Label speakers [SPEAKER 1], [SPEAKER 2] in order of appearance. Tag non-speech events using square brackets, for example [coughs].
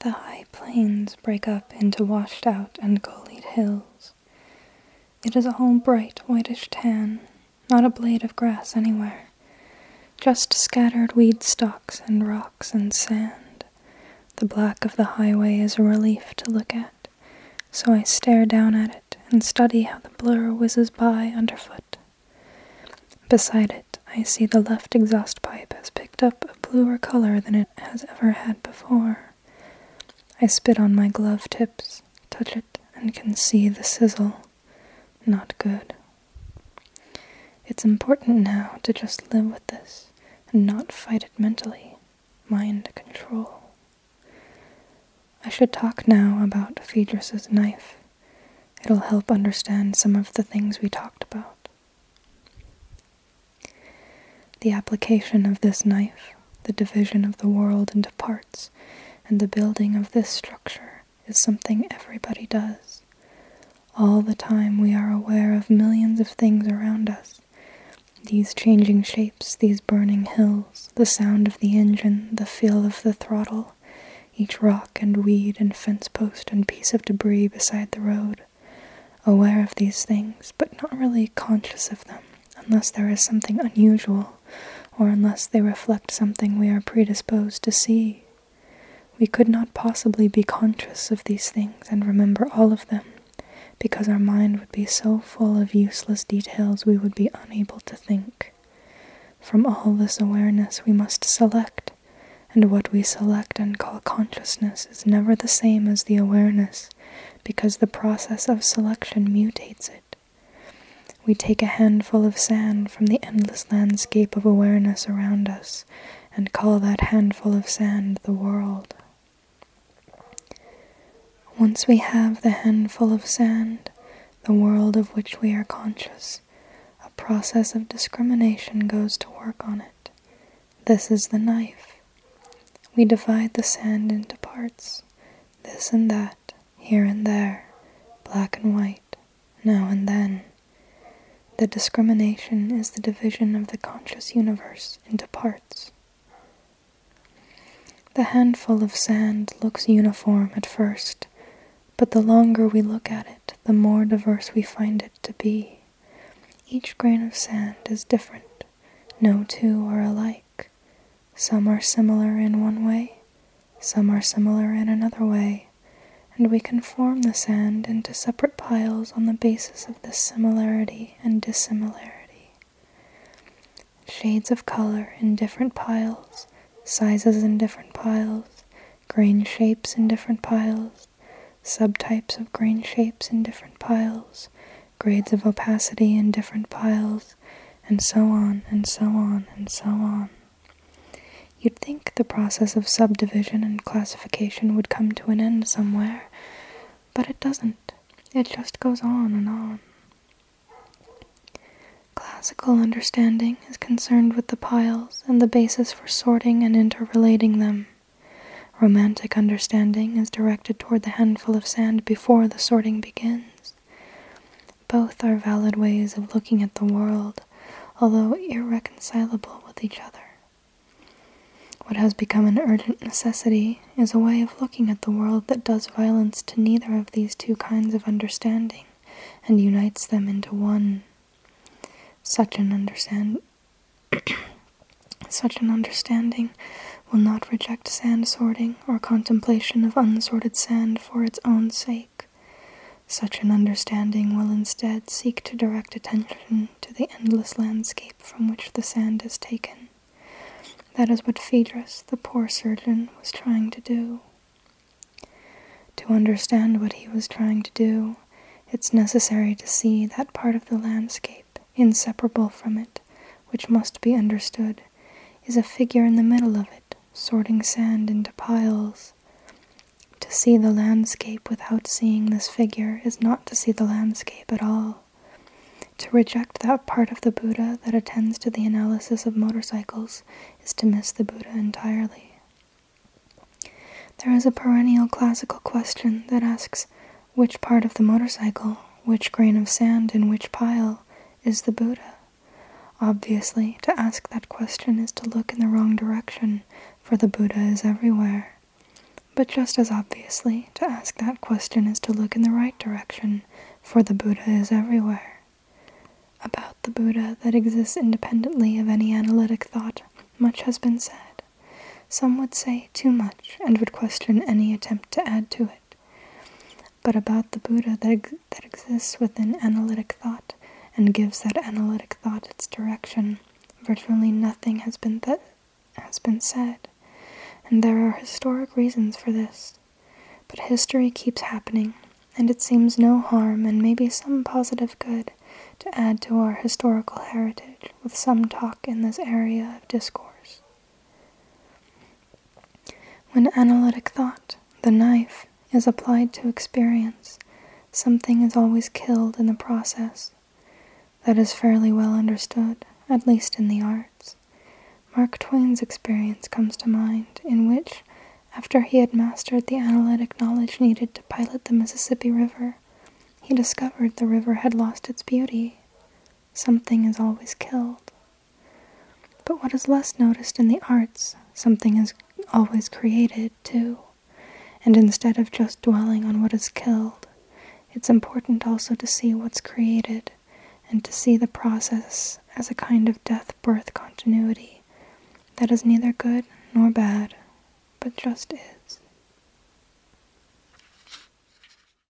[SPEAKER 1] The high plains break up into washed out and gullied hills. It is all bright whitish tan, not a blade of grass anywhere, just scattered weed stalks and rocks and sand. The black of the highway is a relief to look at, so I stare down at it and study how the blur whizzes by underfoot. Beside it, I see the left exhaust pipe has picked up a bluer color than it has ever had before. I spit on my glove tips, touch it, and can see the sizzle. Not good. It's important now to just live with this and not fight it mentally. Mind control. I should talk now about Phaedrus's knife. It'll help understand some of the things we talked about. The application of this knife, the division of the world into parts, and the building of this structure is something everybody does. All the time we are aware of millions of things around us these changing shapes, these burning hills, the sound of the engine, the feel of the throttle, each rock and weed and fence post and piece of debris beside the road. Aware of these things, but not really conscious of them, unless there is something unusual, or unless they reflect something we are predisposed to see. We could not possibly be conscious of these things and remember all of them because our mind would be so full of useless details we would be unable to think. From all this awareness, we must select, and what we select and call consciousness is never the same as the awareness, because the process of selection mutates it. We take a handful of sand from the endless landscape of awareness around us and call that handful of sand the world. Once we have the handful of sand, the world of which we are conscious, a process of discrimination goes to work on it. This is the knife. We divide the sand into parts, this and that, here and there, black and white, now and then. The discrimination is the division of the conscious universe into parts. The handful of sand looks uniform at first, but the longer we look at it, the more diverse we find it to be. Each grain of sand is different. No two are alike. Some are similar in one way, some are similar in another way, and we can form the sand into separate piles on the basis of the similarity and dissimilarity. Shades of color in different piles, sizes in different piles, grain shapes in different piles, subtypes of grain shapes in different piles, grades of opacity in different piles, and so on and so on and so on. You'd think the process of subdivision and classification would come to an end somewhere, but it doesn't. It just goes on and on. Classical understanding is concerned with the piles and the basis for sorting and interrelating them. Romantic understanding is directed toward the handful of sand before the sorting begins. Both are valid ways of looking at the world, although irreconcilable with each other. What has become an urgent necessity is a way of looking at the world that does violence to neither of these two kinds of understanding and unites them into one. Such an understand [coughs] such an understanding will not reject sand sorting or contemplation of unsorted sand for its own sake. Such an understanding will instead seek to direct attention to the endless landscape from which the sand is taken. That is what Phaedrus, the poor surgeon, was trying to do. To understand what he was trying to do, it's necessary to see that part of the landscape, inseparable from it, which must be understood, is a figure in the middle of it, sorting sand into piles. To see the landscape without seeing this figure is not to see the landscape at all. To reject that part of the Buddha that attends to the analysis of motorcycles is to miss the Buddha entirely. There is a perennial classical question that asks which part of the motorcycle, which grain of sand in which pile, is the Buddha? Obviously, to ask that question is to look in the wrong direction, for the Buddha is everywhere. But just as obviously, to ask that question is to look in the right direction, for the Buddha is everywhere. About the Buddha that exists independently of any analytic thought, much has been said. Some would say too much and would question any attempt to add to it but about the Buddha that, that exists within analytic thought and gives that analytic thought its direction. Virtually nothing has been, has been said, and there are historic reasons for this. But history keeps happening, and it seems no harm and maybe some positive good to add to our historical heritage with some talk in this area of discourse. When analytic thought, the knife, is applied to experience, something is always killed in the process. That is fairly well understood, at least in the arts. Mark Twain's experience comes to mind, in which, after he had mastered the analytic knowledge needed to pilot the Mississippi River, he discovered the river had lost its beauty. Something is always killed. But what is less noticed in the arts, something is always created, too. And instead of just dwelling on what is killed, it's important also to see what's created and to see the process as a kind of death birth continuity that is neither good nor bad, but just is.